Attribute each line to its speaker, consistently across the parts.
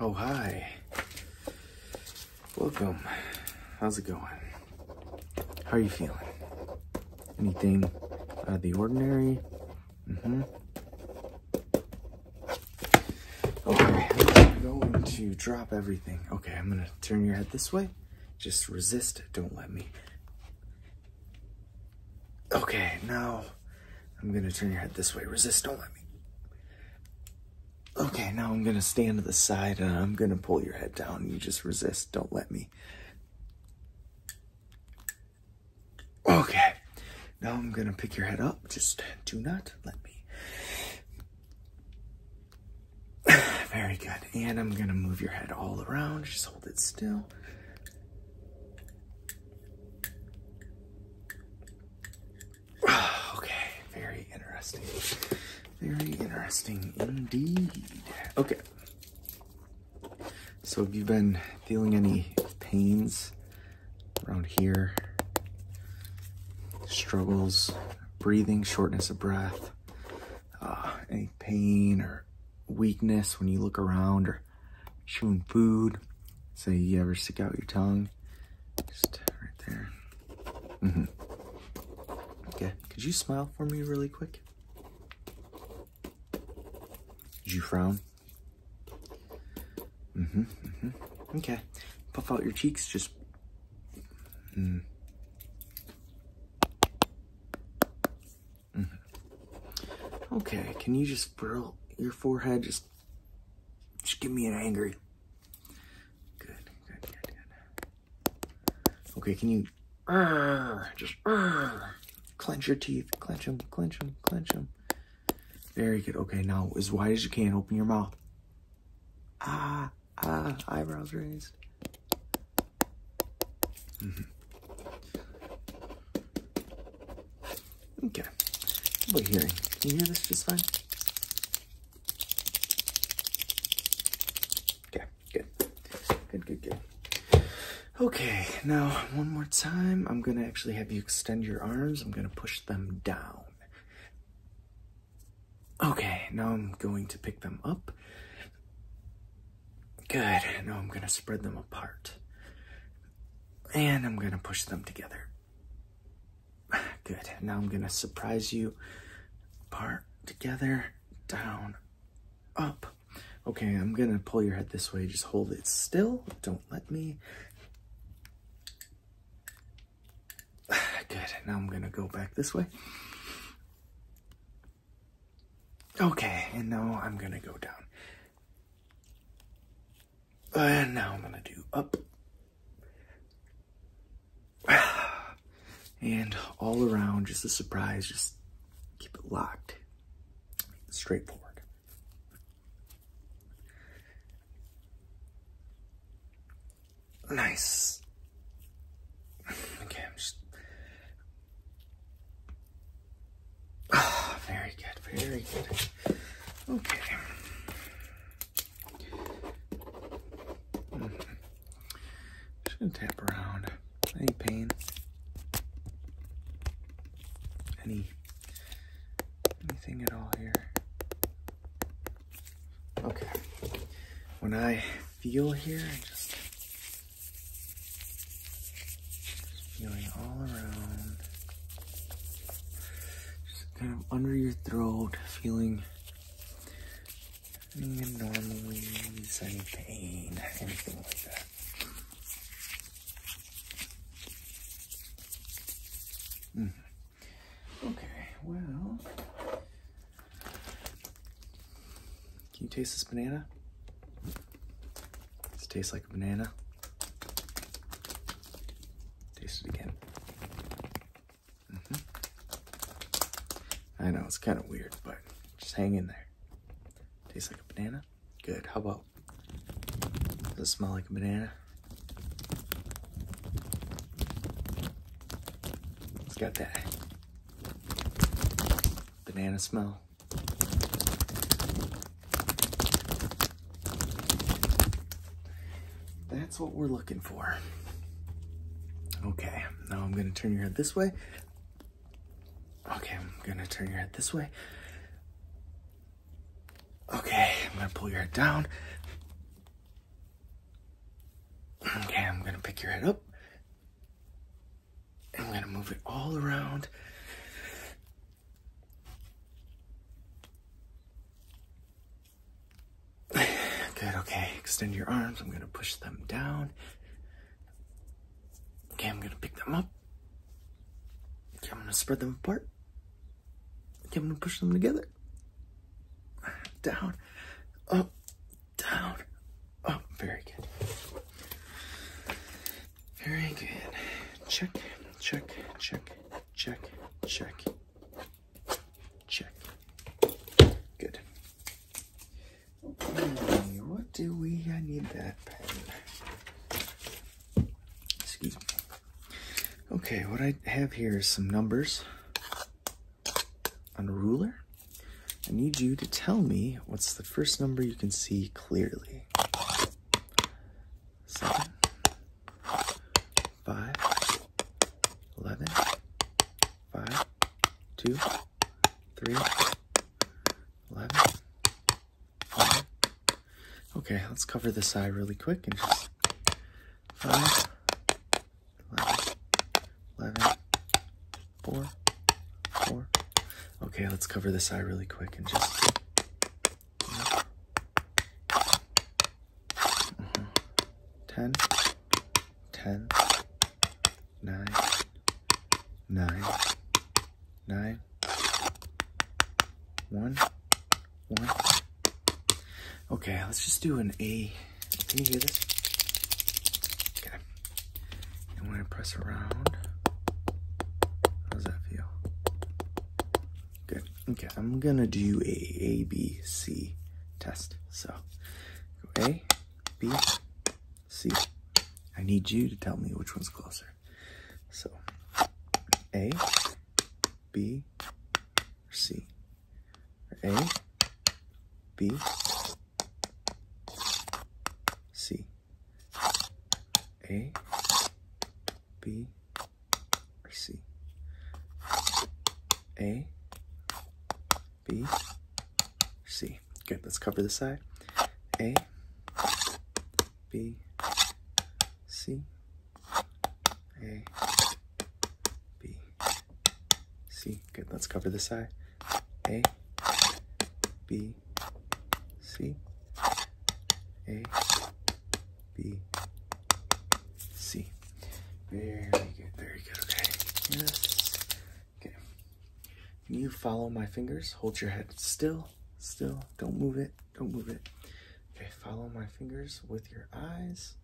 Speaker 1: Oh, hi. Welcome. How's it going? How are you feeling? Anything out of the ordinary? Mm-hmm. Okay, I'm going to drop everything. Okay, I'm gonna turn your head this way. Just resist, don't let me. Okay, now I'm gonna turn your head this way. Resist, don't let me. Okay, now I'm gonna stand to the side and I'm gonna pull your head down. You just resist, don't let me. Okay, now I'm gonna pick your head up. Just do not let me. Very good. And I'm gonna move your head all around. Just hold it still. okay, very interesting. Very interesting indeed. Okay. So have you been feeling any pains around here? Struggles, breathing, shortness of breath, uh, any pain or weakness when you look around or chewing food? Say you ever stick out your tongue? Just right there. Mm-hmm. Okay. Could you smile for me really quick? Did you frown? Mm-hmm. hmm Okay. Puff out your cheeks. Just. Mm. -hmm. Okay. Can you just furl your forehead? Just just, give me an angry. Good, good, good, good. Okay, can you uh, just uh, clench your teeth, clench them, clench them, clench them. Very good. Okay, now as wide as you can, open your mouth. Ah, ah, eyebrows raised. Mm-hmm. Okay. How about hearing? Can you hear this just fine? Okay, good. Good, good, good. Okay, now one more time. I'm going to actually have you extend your arms. I'm going to push them down. Okay, now I'm going to pick them up. Good. Now I'm going to spread them apart. And I'm going to push them together. Good. Now I'm going to surprise you. Part together, down, up. Okay, I'm going to pull your head this way. Just hold it still. Don't let me. Good. Now I'm going to go back this way. Okay, and now I'm going to go down. And now I'm going to do up. And all around, just a surprise, just keep it locked. Straightforward. Nice. Okay, I'm just... very good, very good. Okay. Just gonna tap around. Any pain? Any anything at all here? Okay. When I feel here, I just, just feeling all around kind of under your throat, feeling any abnormalities, any pain, anything like that. Hmm. Okay, well, can you taste this banana? Does it taste like a banana? Taste it again. Mm -hmm. I know it's kind of weird, but just hang in there. Tastes like a banana. Good. How about? Does it smell like a banana? It's got that banana smell. That's what we're looking for. Okay, now I'm gonna turn your head this way. Okay, I'm gonna turn your head this way. Okay, I'm gonna pull your head down. Okay, I'm gonna pick your head up. I'm gonna move it all around. Good, okay. Extend your arms. I'm going to push them down. Okay, I'm going to pick them up. Okay, I'm going to spread them apart. Okay, I'm going to push them together. Down, up, down, up. Very good. Very good. Check, check, check check, check, check. Good. what do we? I need that pen. Excuse me. Okay, what I have here is some numbers on a ruler. I need you to tell me what's the first number you can see clearly. Seven, five, eleven, five, two, three, eleven, five. Okay, let's cover this eye really quick and just five, eleven, eleven, four, four. Okay, let's cover this eye really quick and just 10, 10, 9, 9, 9, 1, 1. Okay, let's just do an A. Can you hear this? Okay. And when I press around, how does that feel? Good. Okay, I'm gonna do a A B C test. So A, B, C. I need you to tell me which one's closer. So A, B, C. A, B, C. A, B, I see. A, B, C. Good, let's cover the side. A, B, C, A, B, C. Good, let's cover the side. A, B, C, A, B, C. Very good, very good, okay. Yes. Okay. Can you follow my fingers? Hold your head still, still. Don't move it, don't move it. Okay, follow my fingers with your eyes.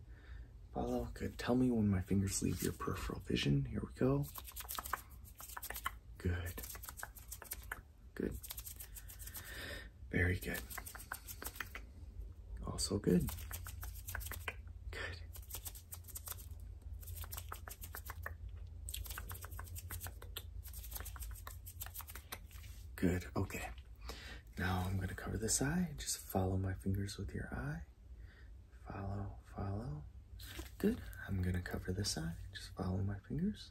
Speaker 1: Follow, good. Tell me when my fingers leave your peripheral vision. Here we go. Good. Good. Very good. Also good. Good. Good. Okay. Now I'm going to cover this eye. Just follow my fingers with your eye. Follow, follow. Good. I'm going to cover this side. Just follow my fingers.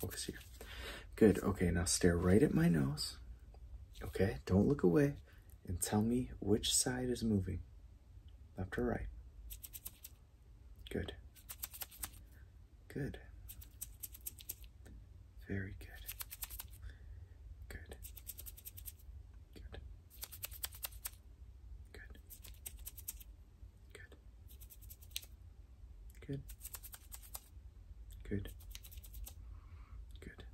Speaker 1: Focus here. Good. Okay, now stare right at my nose. Okay, don't look away and tell me which side is moving left or right. Good. Good. Very good. Good. Good. Good. Good. Good. Good.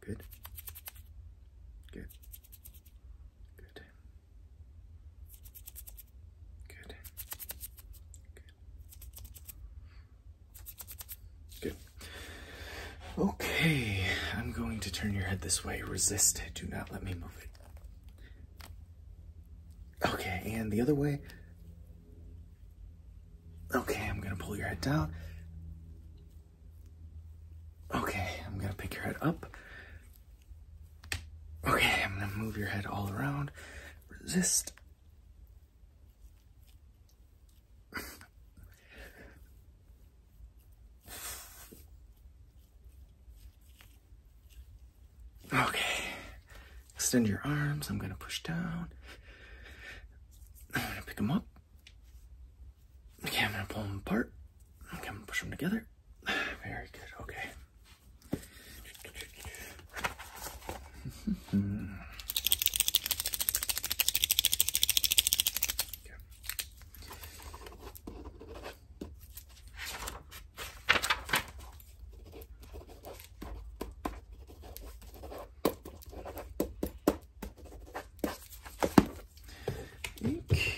Speaker 1: Good. Good. Good. Good. Good. Okay, I'm going to turn your head this way. Resist it. Do not let me move it. Okay, and the other way. Okay, I'm gonna pull your head down. Okay, I'm gonna pick your head up. Okay, I'm gonna move your head all around. Resist. Okay. Extend your arms. I'm going to push down. I'm going to pick them up. Okay, I'm going to pull them apart. I'm going to push them together. Very good. Okay.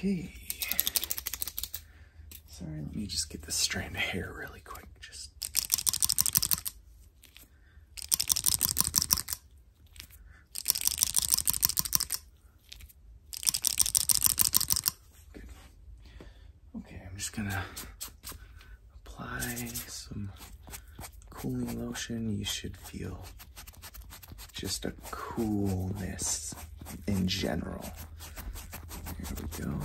Speaker 1: Okay. Sorry, let me just get this strand of hair really quick. Just. Okay, I'm just gonna apply some cooling lotion. You should feel just a coolness in general. Here we go.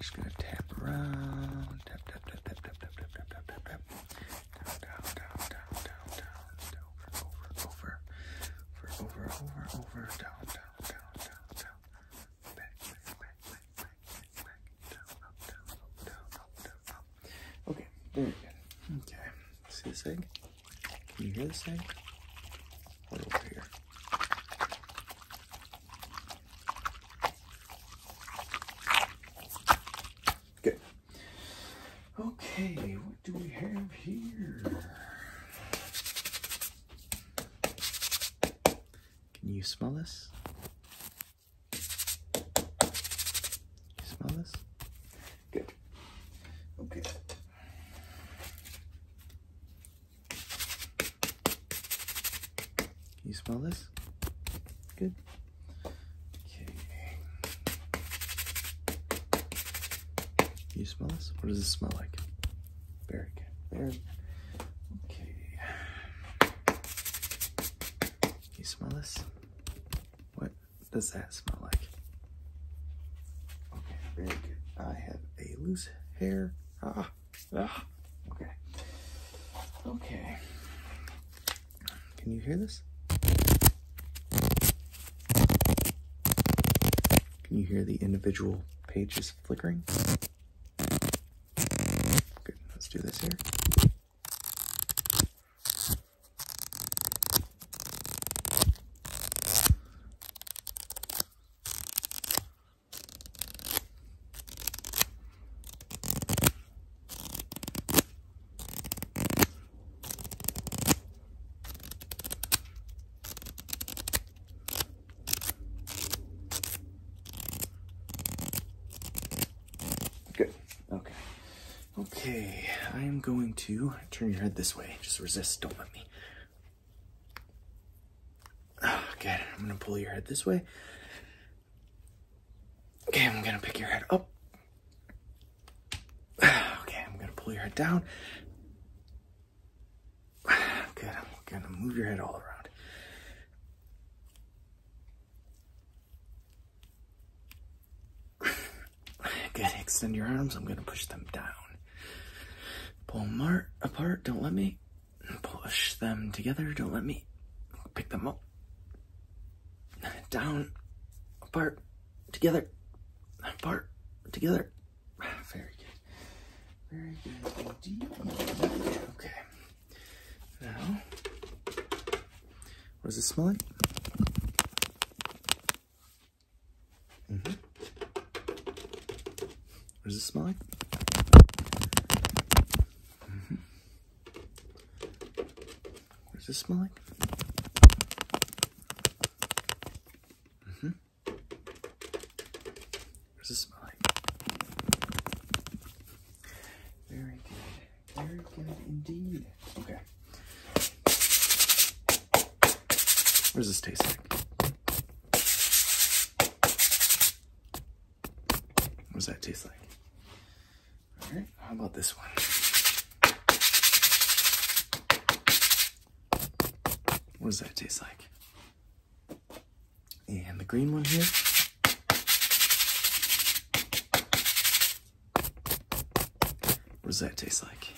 Speaker 1: Just gonna tap around. Tap, tap, tap, tap, tap, tap, tap, tap, tap, tap. Down, down, down, down, down, down. Over, over, over, over, over, over, over, down, down, down, down, down. Okay. back, back, back, Okay, Okay, see this egg? Can you hear this egg? Right over here. Good. Okay, what do we have here? Can you smell this? smell this? Good. Okay. Can you smell this? Good. Okay. Can you smell this? What does this smell like? Very good. Very okay. You smell this? What does that smell like? Okay, very good. I have a loose hair. Ah, ah. Okay. Okay. Can you hear this? Can you hear the individual pages flickering. Good, let's do this here. Okay. Okay. Okay. I am going to turn your head this way. Just resist. Don't let me. Ah, okay. I'm going to pull your head this way. Okay. I'm going to pick your head up. Ah, okay. I'm going to pull your head down. Good, I'm gonna move your head all around. Good, extend your arms. I'm gonna push them down. Pull them apart, don't let me. Push them together, don't let me. Pick them up. Down, apart, together, apart, together. Very good. Very good indeed. Okay. Now, what it smell like? What does it smell like? Mm-hmm. What does it smell like? Mm-hmm. What does it smell like? Very good. Very good indeed. Okay. What does this taste like? What does that taste like? Alright, how about this one? What does that taste like? and the green one here. What does that taste like?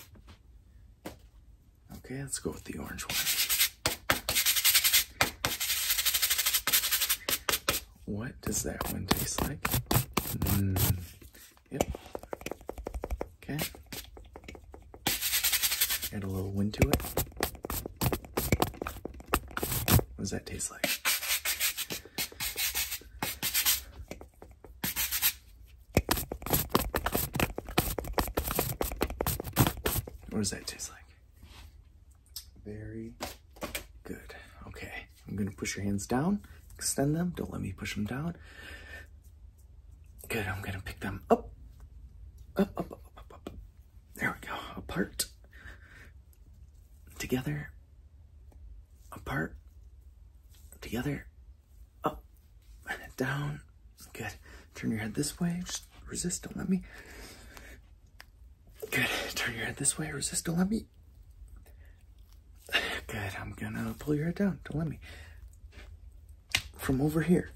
Speaker 1: Okay, let's go with the orange one. What does that one taste like? Hmm. Yep. Okay. Add a little wind to it. What does that taste like? What does that taste like? Very good. Okay. I'm going to push your hands down, extend them. Don't let me push them down. Good, I'm gonna pick them up. Up, up, up, up, up, up. There we go. Apart. Together. Apart. Together. Up. Down. Good. Turn your head this way. Just resist. Don't let me. Good. Turn your head this way. Resist. Don't let me. Good. I'm gonna pull your head down. Don't let me from over here.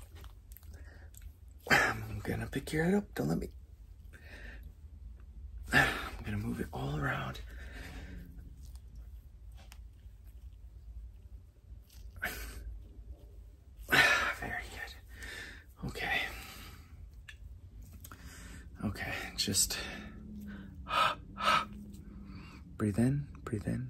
Speaker 1: I'm gonna pick your head up. Don't let me. I'm gonna move it all around. Very good. Okay. Okay, just breathe in, breathe in,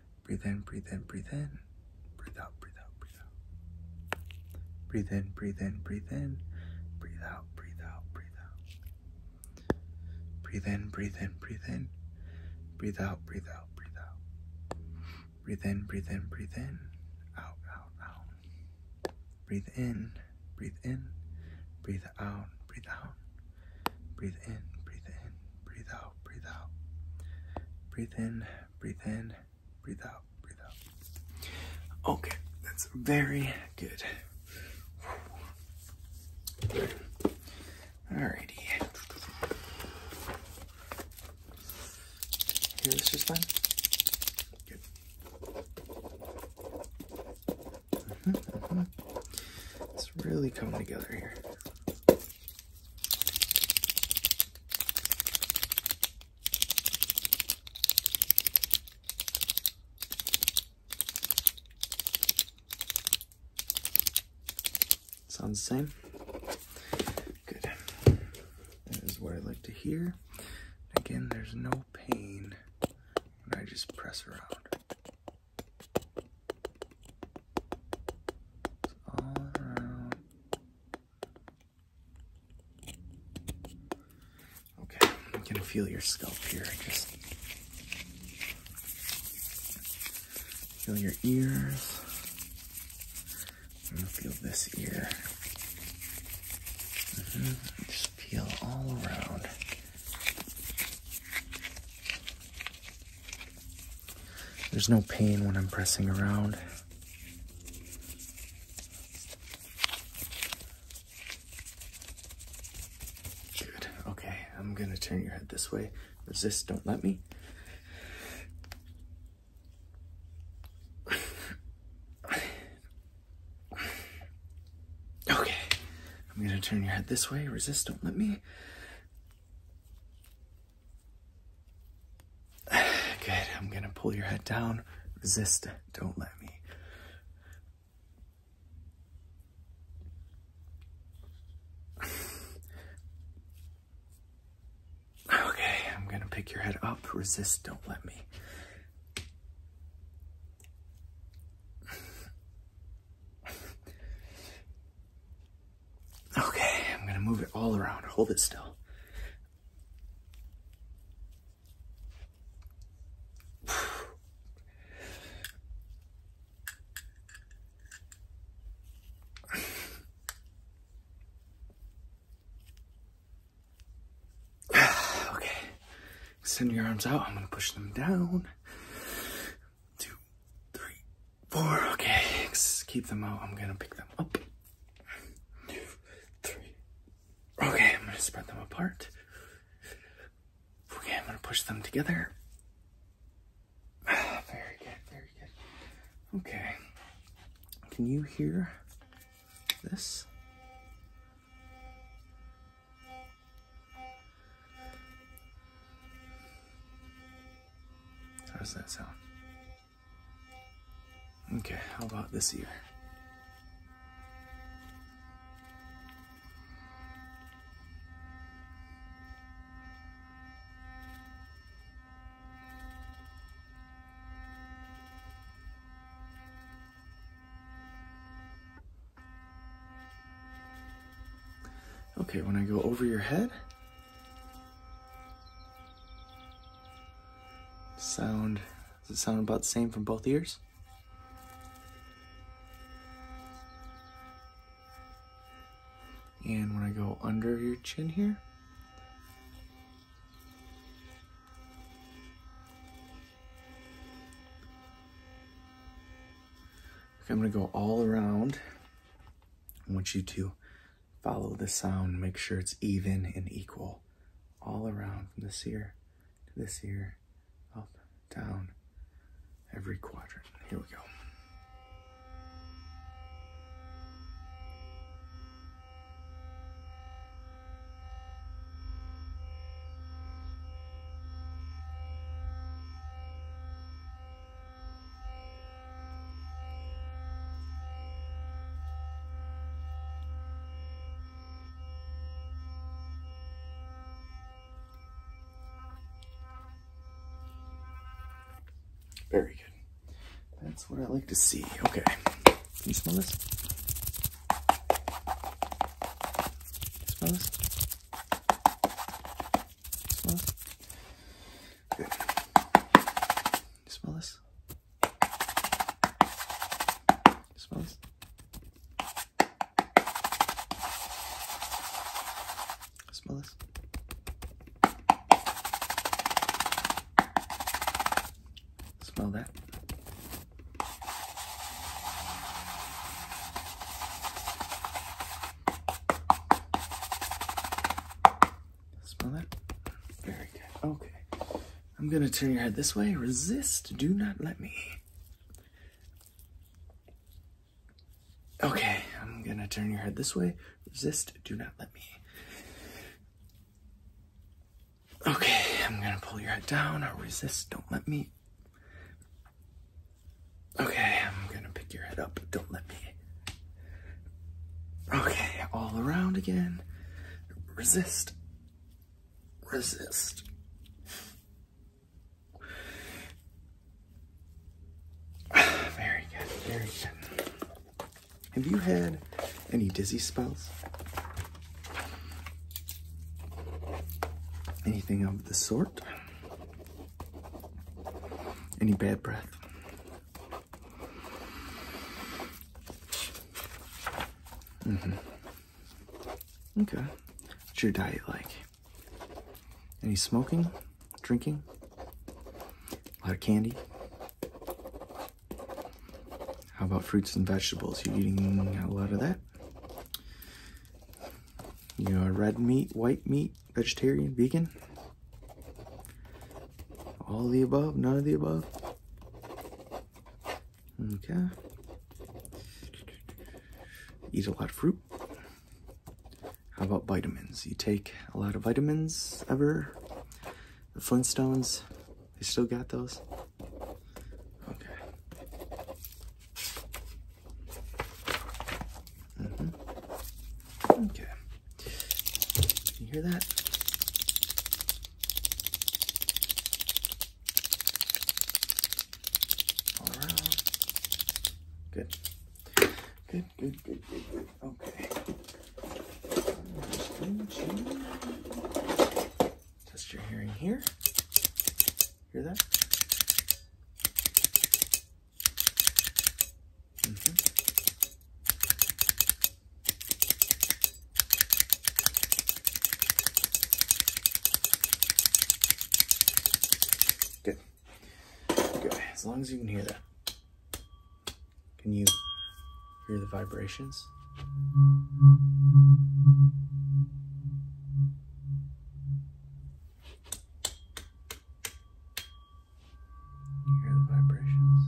Speaker 1: Breathe in, breathe in, breathe in. Breathe out, breathe out, breathe out. Breathe in, breathe in, breathe in. Breathe out, breathe out, breathe out. Breathe in, breathe in, breathe in. Breathe out, breathe out, breathe out. Breathe in, breathe in, breathe in. Out, out, out. Breathe in, breathe in. Breathe out, breathe out. Breathe in, breathe in, breathe out, breathe out. Breathe in, breathe in, breathe out, breathe out. Okay, that's very good. Alrighty. Hear this just fine? Good. Mm-hmm, mm-hmm. It's really coming together here. Sounds the same? Good. This is what I like to hear. Again, there's no pain when I just press around. It's all around. Okay, I'm feel your scalp here. Just feel your ears. I'm gonna feel this ear. Mm-hmm. Just feel all around. There's no pain when I'm pressing around. Good. Okay, I'm gonna turn your head this way. Resist, don't let me. okay, I'm gonna turn your head this way. Resist, don't let me. Good, I'm gonna pull your head down. Resist, don't let me. Okay, I'm gonna pick your head up. Resist, don't let me. Okay, I'm going to move it all around. Hold it still. okay, send your arms out. I'm going to push them down. Two, three, four. Okay, keep them out. I'm gonna pick them up. One, two, three. Okay, I'm gonna spread them apart. Okay, I'm gonna push them together. very good, very good. Okay. Can you hear this? How does that sound? Okay, how about this ear? Okay, when I go over your head, Sound, does it sound about the same from both ears? And when I go under your chin here, I'm gonna go all around. I want you to Follow the sound, make sure it's even and equal all around from this ear to this ear, up, down, every quadrant. Here we go. Very good. That's what I like to see. Okay. Can you smell this? Can you smell this? smell smell this? smell this? smell this? Smell that? Smell that? Very good. Okay. I'm gonna turn your head this way. Resist. Do not let me. Okay, I'm gonna turn your head this way. Resist. Do not let me. Okay, I'm gonna pull your head down. i resist. Don't let me. Okay, I'm gonna pick your head up. Don't let me. Okay, all around again. Resist. Resist. Very good, very good. Have you had any dizzy spells? Anything of the sort? Any bad breath? Mm-hmm. Okay. What's your diet like? Any smoking? Drinking? A lot of candy? How about fruits and vegetables? You eating a lot of that? You know, red meat, white meat, vegetarian, vegan, all the above, none of the above. Okay. Eat a lot of fruit. How about vitamins? You take a lot of vitamins ever? The Flintstones, they still got those? Okay. Mm -hmm. Okay. Can you hear that? All around. Good. Good, good, good, good, good. Okay. Test your hearing here. Hear that? Mm Good. Good. As long as you can hear that. Can you hear the vibrations? You hear the vibrations.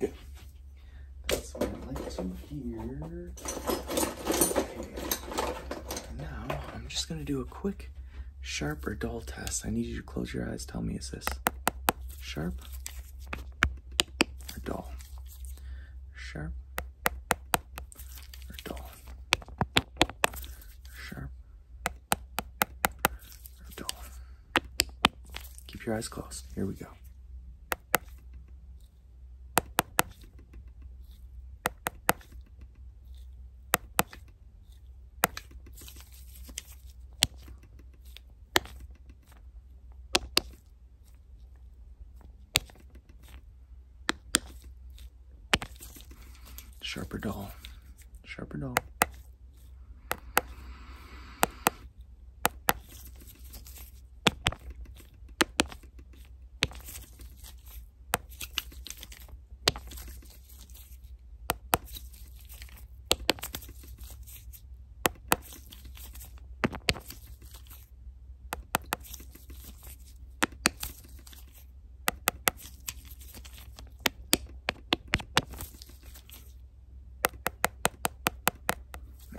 Speaker 1: Good. That's what I like to hear. Now I'm just gonna do a quick Sharp or dull test? I need you to close your eyes. Tell me, is this sharp or dull? Sharp or dull? Sharp or dull? Keep your eyes closed. Here we go. Sharper dull, sharper dull.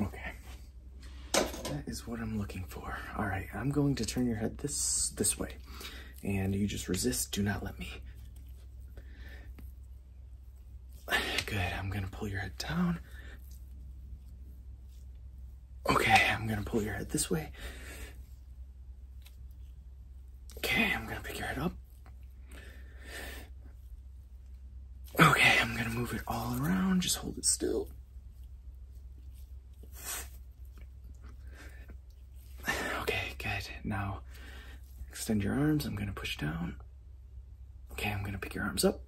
Speaker 1: Okay. That is what I'm looking for. All right, I'm going to turn your head this this way and you just resist. Do not let me. Good. I'm going to pull your head down. Okay, I'm going to pull your head this way. Okay, I'm going to pick your head up. Okay, I'm going to move it all around. Just hold it still. Okay, good. Now extend your arms. I'm going to push down. Okay, I'm going to pick your arms up.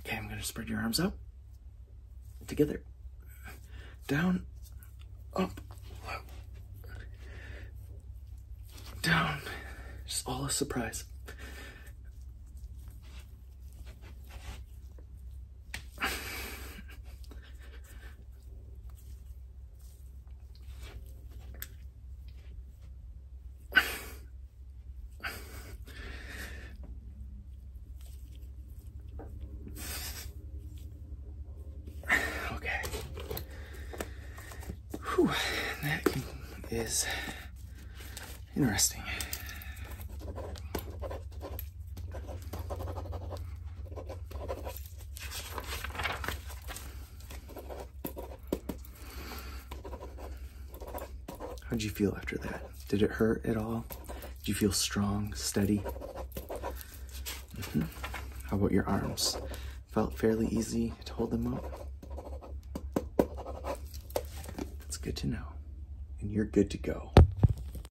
Speaker 1: Okay, I'm going to spread your arms out. Together. Down. Up. Down. Just all a surprise. okay. Whew, that is interesting how did you feel after that? Did it hurt at all? Did you feel strong, steady? Mm-hmm. How about your arms? Felt fairly easy to hold them up? That's good to know. And you're good to go.